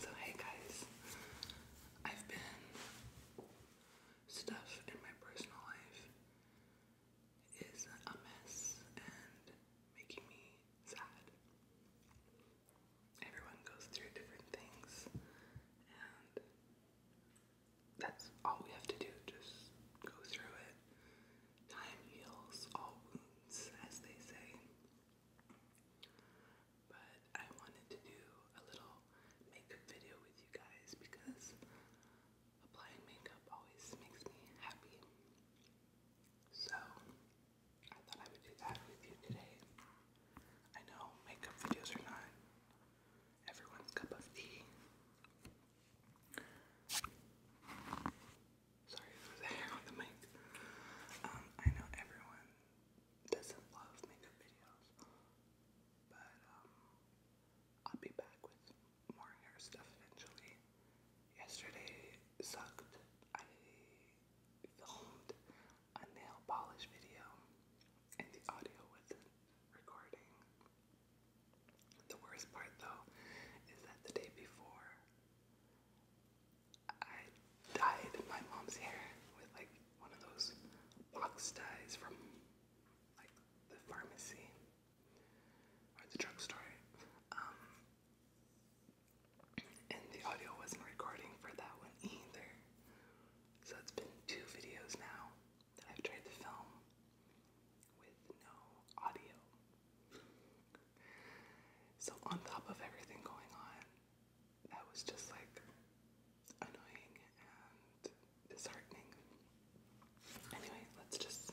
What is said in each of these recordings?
So, hey guys, I've been stuff in my personal life is a mess and making me sad. Everyone goes through different things, and that's all we have to do just go through it Time heals all wounds, as they say. But I wanted to do a little makeup video with you guys because applying makeup always makes me happy. So I thought I would do that with you today. I know makeup videos are not everyone's cup of tea. Sorry, there was hair on the mic. Um, I know everyone doesn't love makeup videos, but um, I'll be back with more hair stuff eventually. Yesterday sucked. I filmed a nail polish video, and the audio wasn't recording. The worst part though is that the day before I dyed my mom's hair with like one of those box dyes from like the pharmacy or the drugstore. Um, and the audio wasn't recording for that one either. So it's been two videos now that I've tried to film with no audio. So, on top of everything going on, that was just like annoying and disheartening. Anyway, let's just.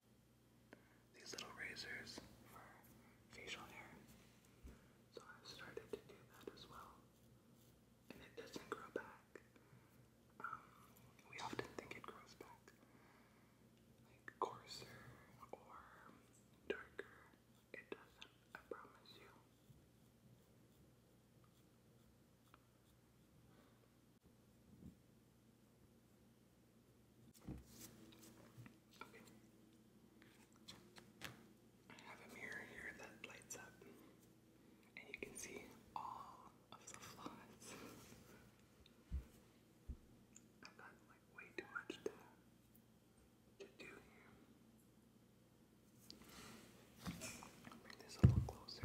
these little razors for facial hair. So I've started to do that as well. And it doesn't grow back. Um, we often think it grows back. Like coarser or darker. It doesn't, I promise you. Okay. I have a mirror here that lights up, and you can see all of the flaws. I've got like way too much to, to do here. bring this a little closer.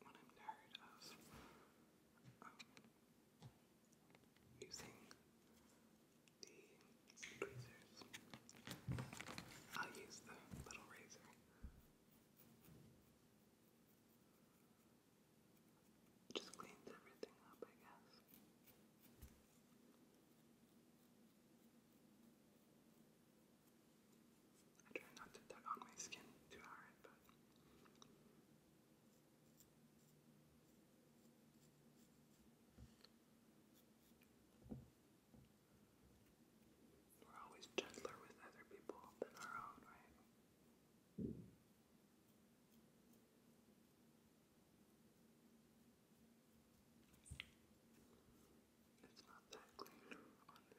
what I'm tired of um, using the tweezers. I'll use the little razor. Just cleans everything up, I guess. I try not to tug on my skin too hard, but. We're always gentler with other people than our own, right? It's not that clean, honestly.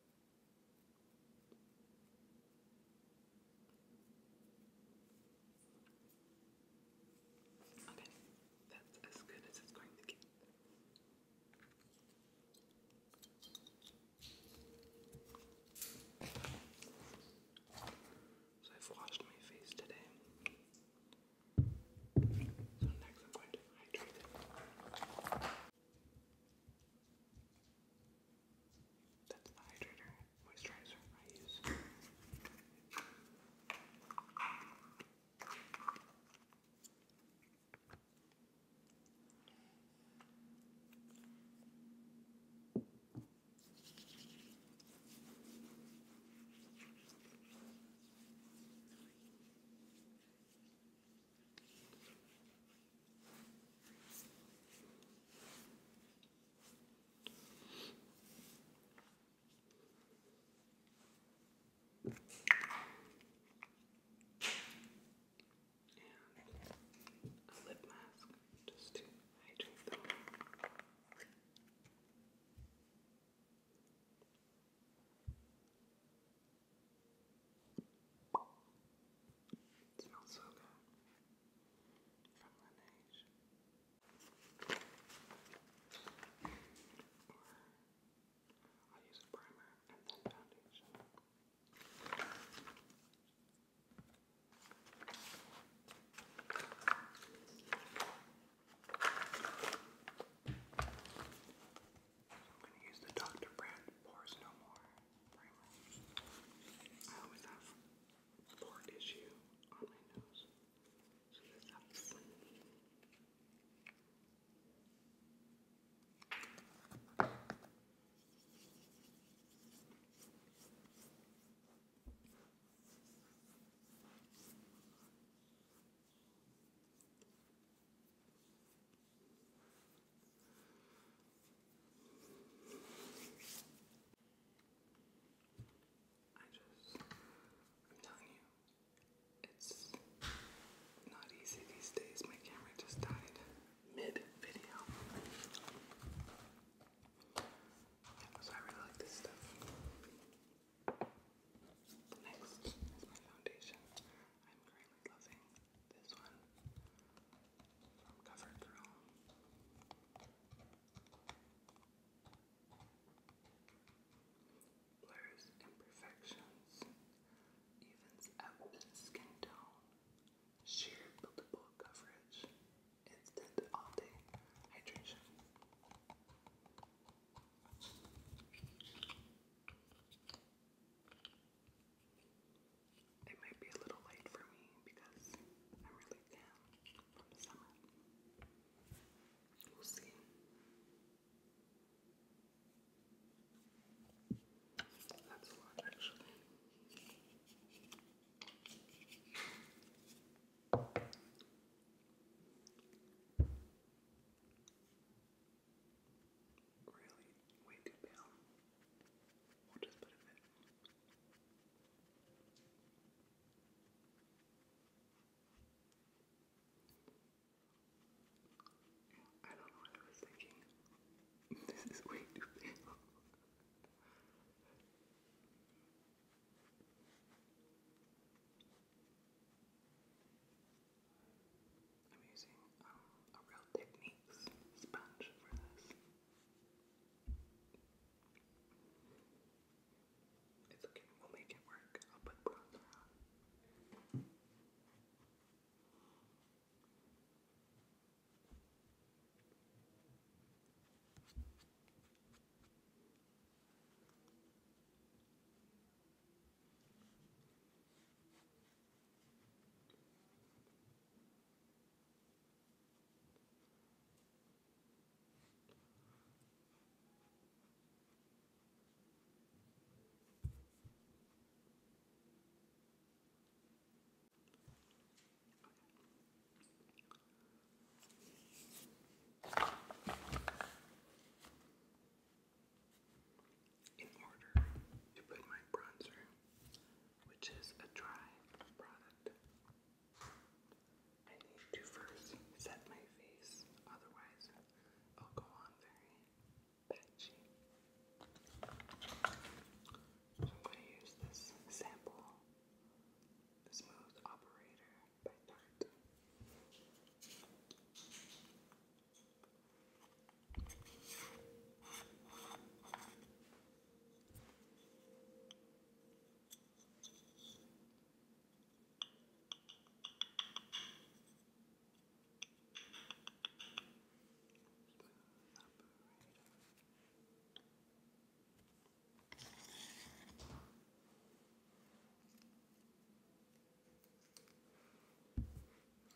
Okay, that's as good as it's going to get. So I've washed my face today. So next I'm going to hydrate that's the hydrator moisturizer I use. And a lip mask just to hydrate them. Okay. It smells so good. From Laneige. i use a primer and then foundation. So I'm going to use the Dr. Brand Pores No More primer. I always have a port issue on my nose, so this helps. I I just, telling you, it's not easy these days. My camera just died mid video. so I really like this stuff. Next is my foundation. I'm currently loving this one from CoverGirl. Blurs imperfections, evens out skin tone, sheer buildable coverage, instant all day hydration. It might be a little late for me because I'm really down from the summer. We'll see. That's a lot, actually. Really, way too pale. We'll just put a bit I don't know what I was thinking. This is way too pale. I'm using um, a real techniques sponge for this. It's okay, we'll make it work. I'll put bronzer on. In order to put my bronzer which is a dry product. I need to first set my face, otherwise, I'll go on very patchy. So I'm going to use this sample, Smooth Operator by Tarte.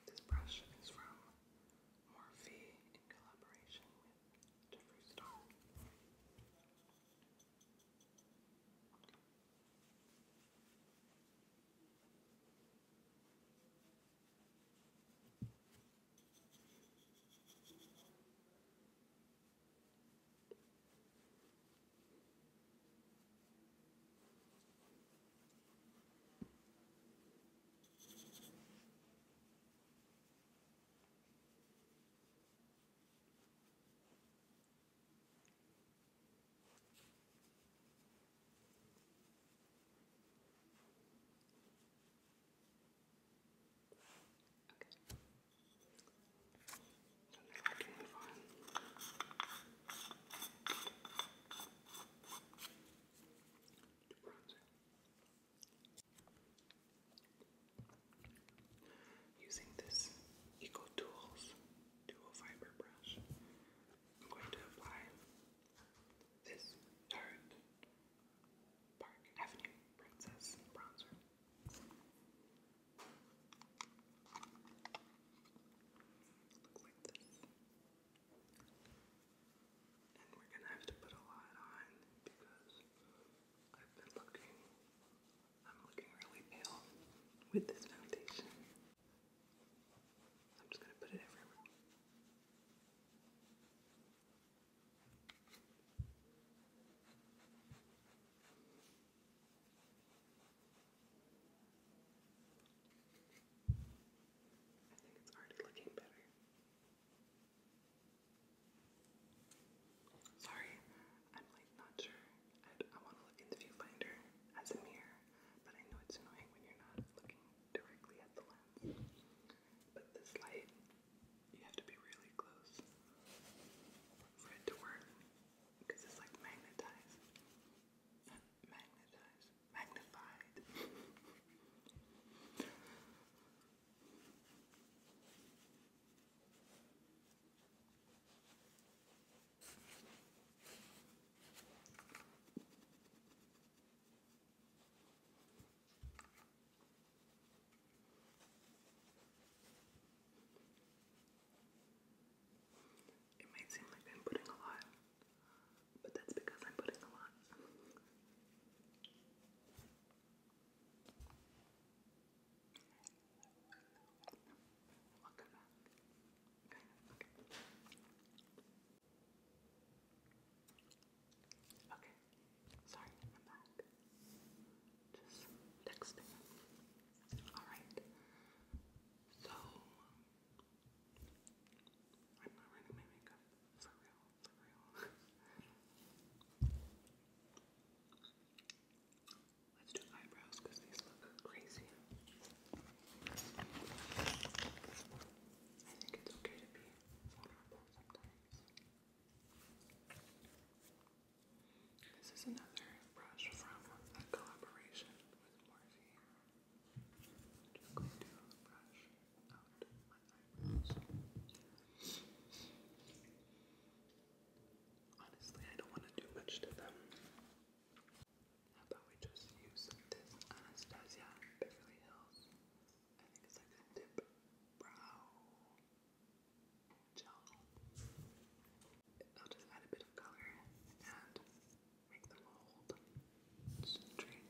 This brush is from Morphe in collaboration with Jeffree Star. And now I can move on. To bronzer. Using this Eco Dual Fiber Brush, I'm going to apply this Park Avenue Princess Bronzer. like this. And we're gonna have to put a lot on because I've been looking, I'm looking really pale with this foundation. I'm just gonna put it everywhere. I think it's already looking better. Sorry, I'm like not sure. i I want to look in the viewfinder as a mirror, but I know it's annoying when you're not looking directly at the lens. But this light, you have to be really close for it to work because it's like magnetized. magnetized, magnified. It may seem like I'm putting a lot, but that's because I'm putting a lot. Welcome back. Okay. Okay. Sorry, I'm back. Just texting. Alright. So, I'm not running my makeup for real. Let's do eyebrows because these look crazy. I think it's okay to be vulnerable sometimes. This is another brush from a collaboration with Morphe. just going to brush out my Honestly, I don't want to do much to them. How about we just use this Anastasia Beverly Hills? I think it's like a dip brow gel. I'll just add a bit of color and make them hold straight.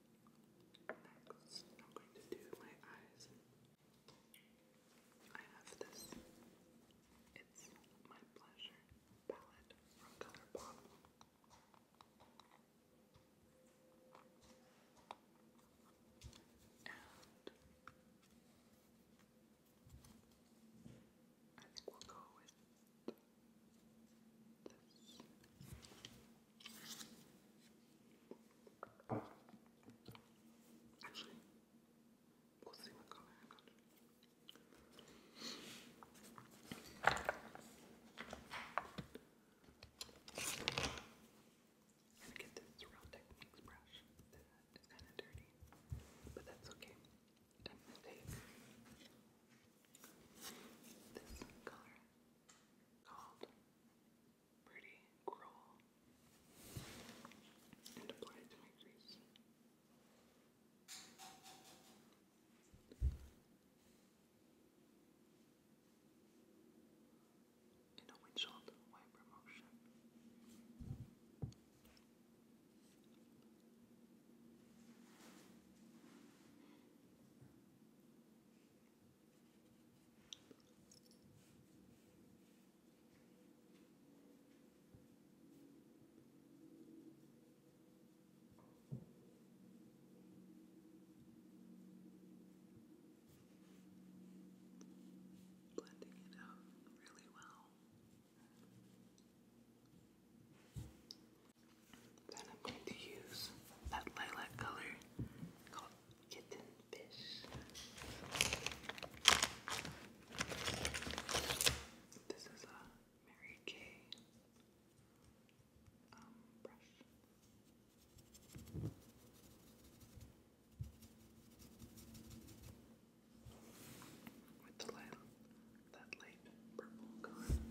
Next, I'm going to do my eyes. I have this. It's my pleasure palette from ColourPop. And I think we'll go with this. Actually, we'll see what color I got. i get this Real Techniques brush that is kind of dirty, but that's okay. i to take this color called pretty cruel and apply to my face. In a windshield wiper motion. Blending it out really well. Then I'm going to use that lilac color called kitten fish. This is a Mary Kay um, brush. With the light, that light purple color, lilac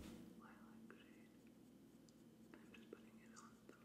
shade. I'm just putting it on the lid.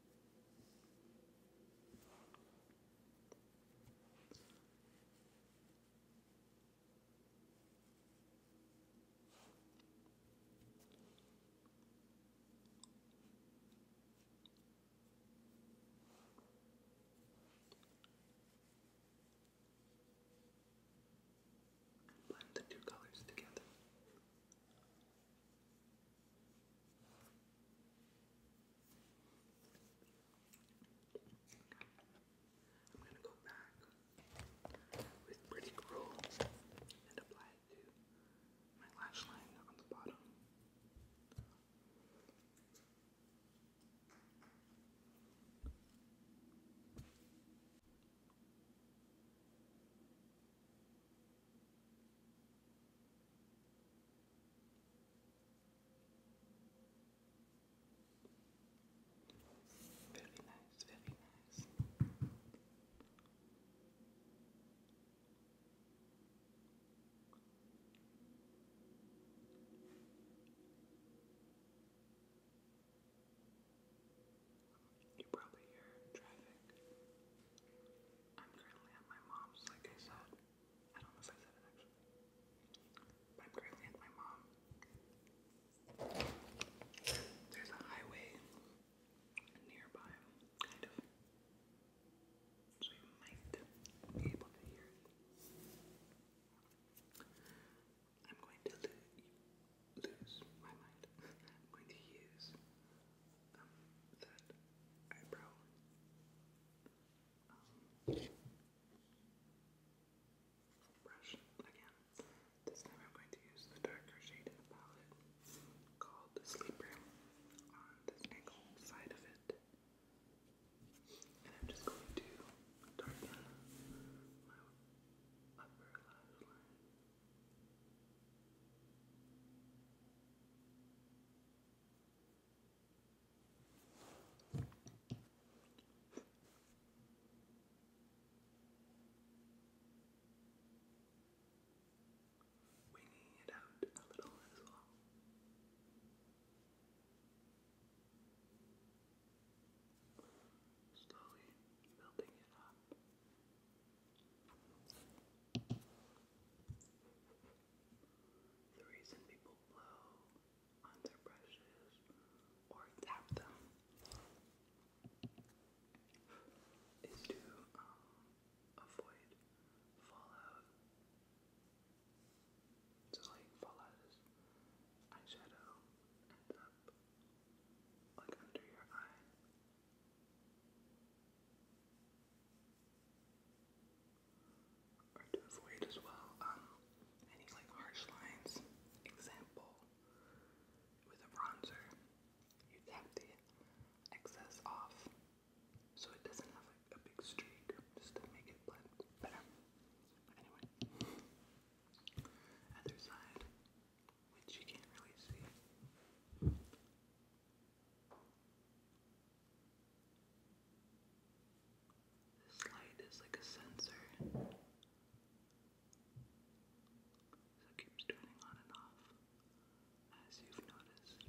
and blend the two colors together. I'm gonna go back with Pretty Cruel and apply it to my lash line on the bottom. Very nice, very nice. You probably hear traffic. I'm currently at my mom's, like I said. I don't know if I said it actually. I'm currently at my mom. There's a highway nearby, kind of. So you might be able to hear it. I'm going to lose my mind. I'm going to use um, that brush again. This time I'm going to use the darker shade in the palette called Sleeper on this angle side of it. And I'm just going to darken my upper lash line. Winging it out a little as well. Slowly building it up. The reason people blow on their brushes or tap them is to um, avoid fallout. So like fallout eyeshadow ends up like under your eye. Or to avoid as well, um, any like harsh lines. Example, with a bronzer, you tap the excess off so it doesn't have like a big streak just to make it blend better. anyway, other side, which you can't really see. This light is like a sensor. So it keeps turning on and off, as you've noticed.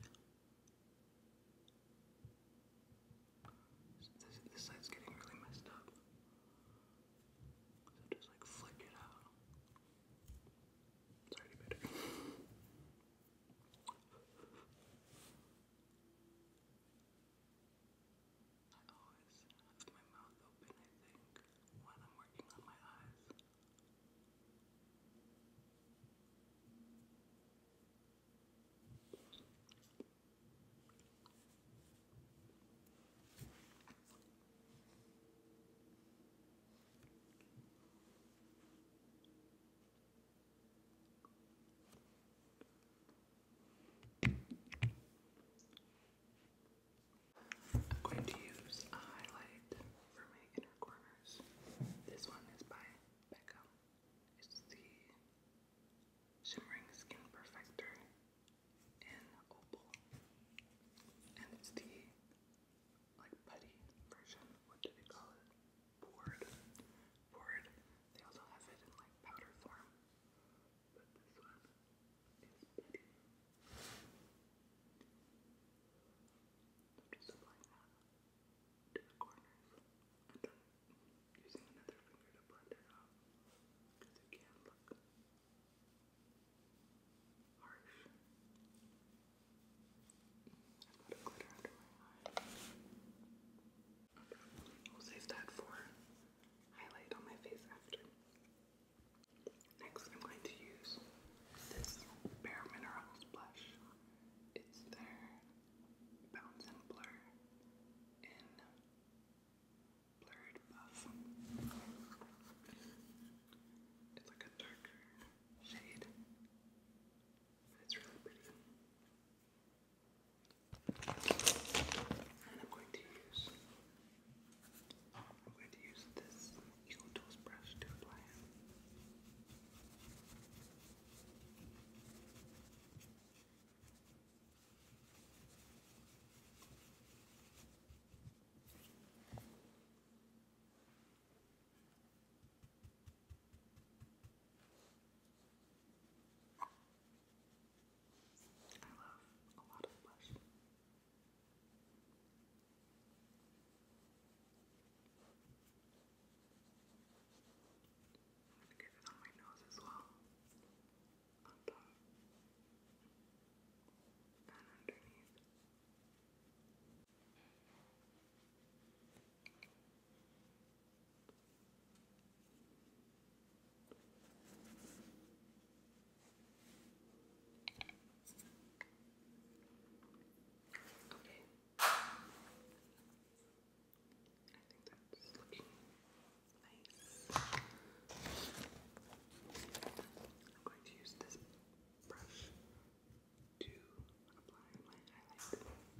This, side's getting really messed up. So just like flick it out. It's already better. I always have my mouth open, I think, when I'm working on my eyes. I'm going to use a highlight for my inner corners. This one is by Becca. It's the Shimmering Skin Perfector in Opal. And it's the like putty version. What do they call it? Board. Board. They also have it in like powder form. But this one is putty. I'm just applying that to the corners. And then using another finger to blend it out. Because it can look harsh. I've will save that for highlight on my face after. Next, I'm going to use this Bare Minerals blush. It's their Bounce and Blur in Blurred Buff. It's like a darker shade. It's really I'm going to use I'm going to use this Eagle Tools to apply it. I love a lot of blush. I'm going to get it on my nose as well. On top. And underneath. Okay. I think that's looking nice. I'm going to use this brush to apply my highlight.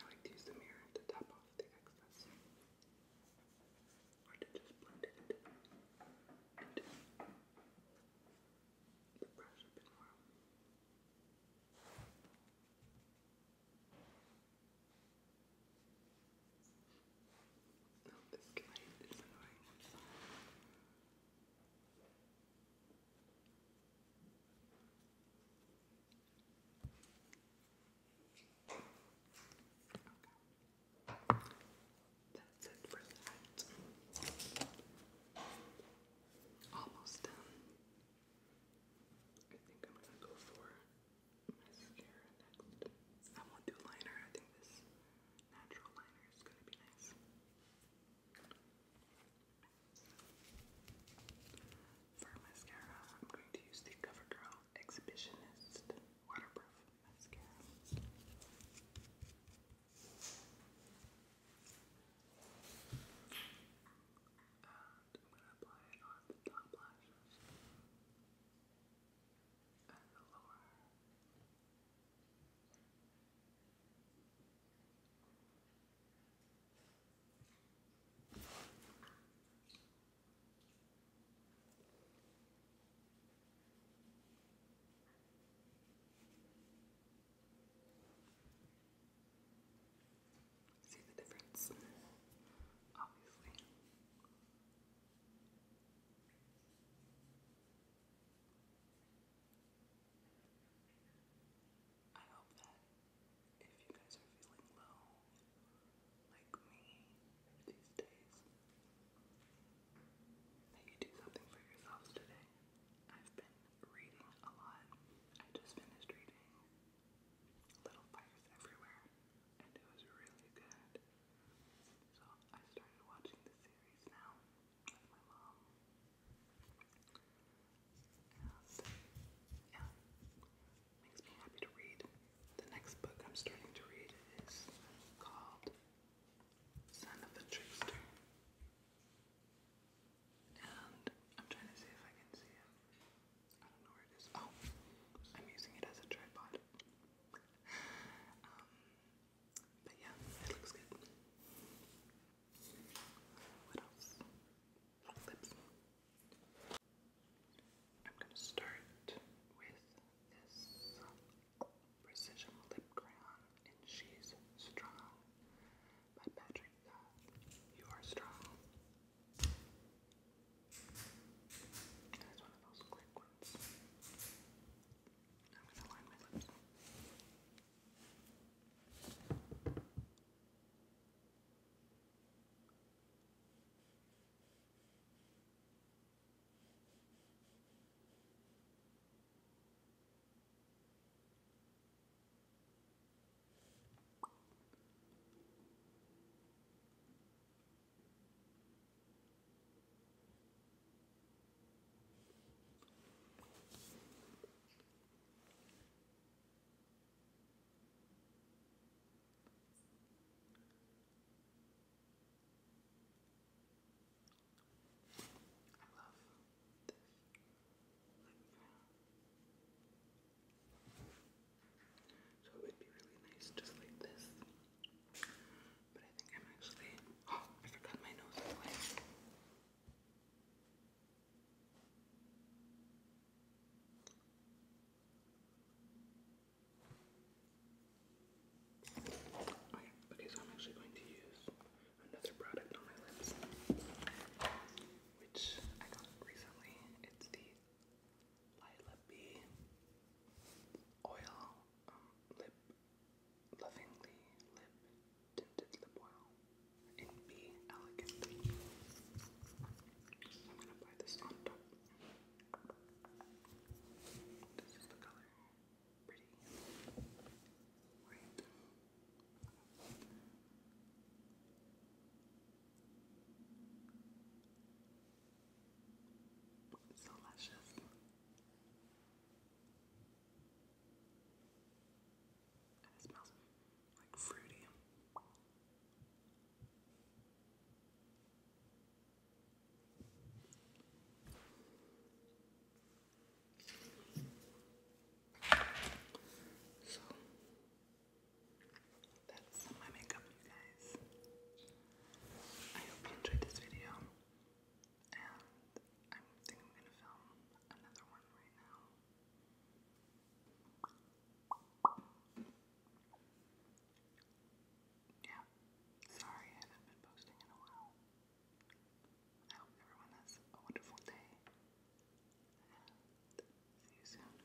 I like to use the mirror to top off the excess or to just blend it the brush a bit more. No, this light is annoying. That's it for that. Almost done. I think I'm gonna go for mascara next. I will do liner. I think this natural liner is gonna be nice. For mascara, I'm going to use the CoverGirl Exhibitionist Waterproof Mascara. I'm going to apply it on the top lashes and the See the difference, obviously. I hope that if you guys are feeling low, like me these days, that you do something for yourselves today. I've been reading a lot. I just finished reading Little Fires Everywhere, and it was really good. So I started watching the series now with my mom. yeah, makes me happy to read. The next book I'm starting to read is called Son of the Trickster. And I'm trying to see if I can see it. I don't know where it is. Oh, I'm using it as a tripod. Um, but yeah, it looks good. What else? lips. I'm gonna start with this precision lip crayon and she's strong by Patrick You are strong. That's one of those quick I'm going to line my lips. So it would be really nice just like this. But I think I'm actually. Oh, I forgot my nose is Okay, oh, okay, so I'm actually going to use another product on my lips, which I got recently. It's the Lila B Oil um, Lip Lovingly Lip Tinted Lip Oil in Be Elegant. I'm gonna apply this on top. This is the color. Pretty. Right. It's so luscious. it smells like fruity. So that's my makeup, you guys. I hope you enjoyed this video. And I think I'm gonna film another one right now. Yeah. Sorry I haven't been posting in a while. I hope everyone has a wonderful day. And see you soon.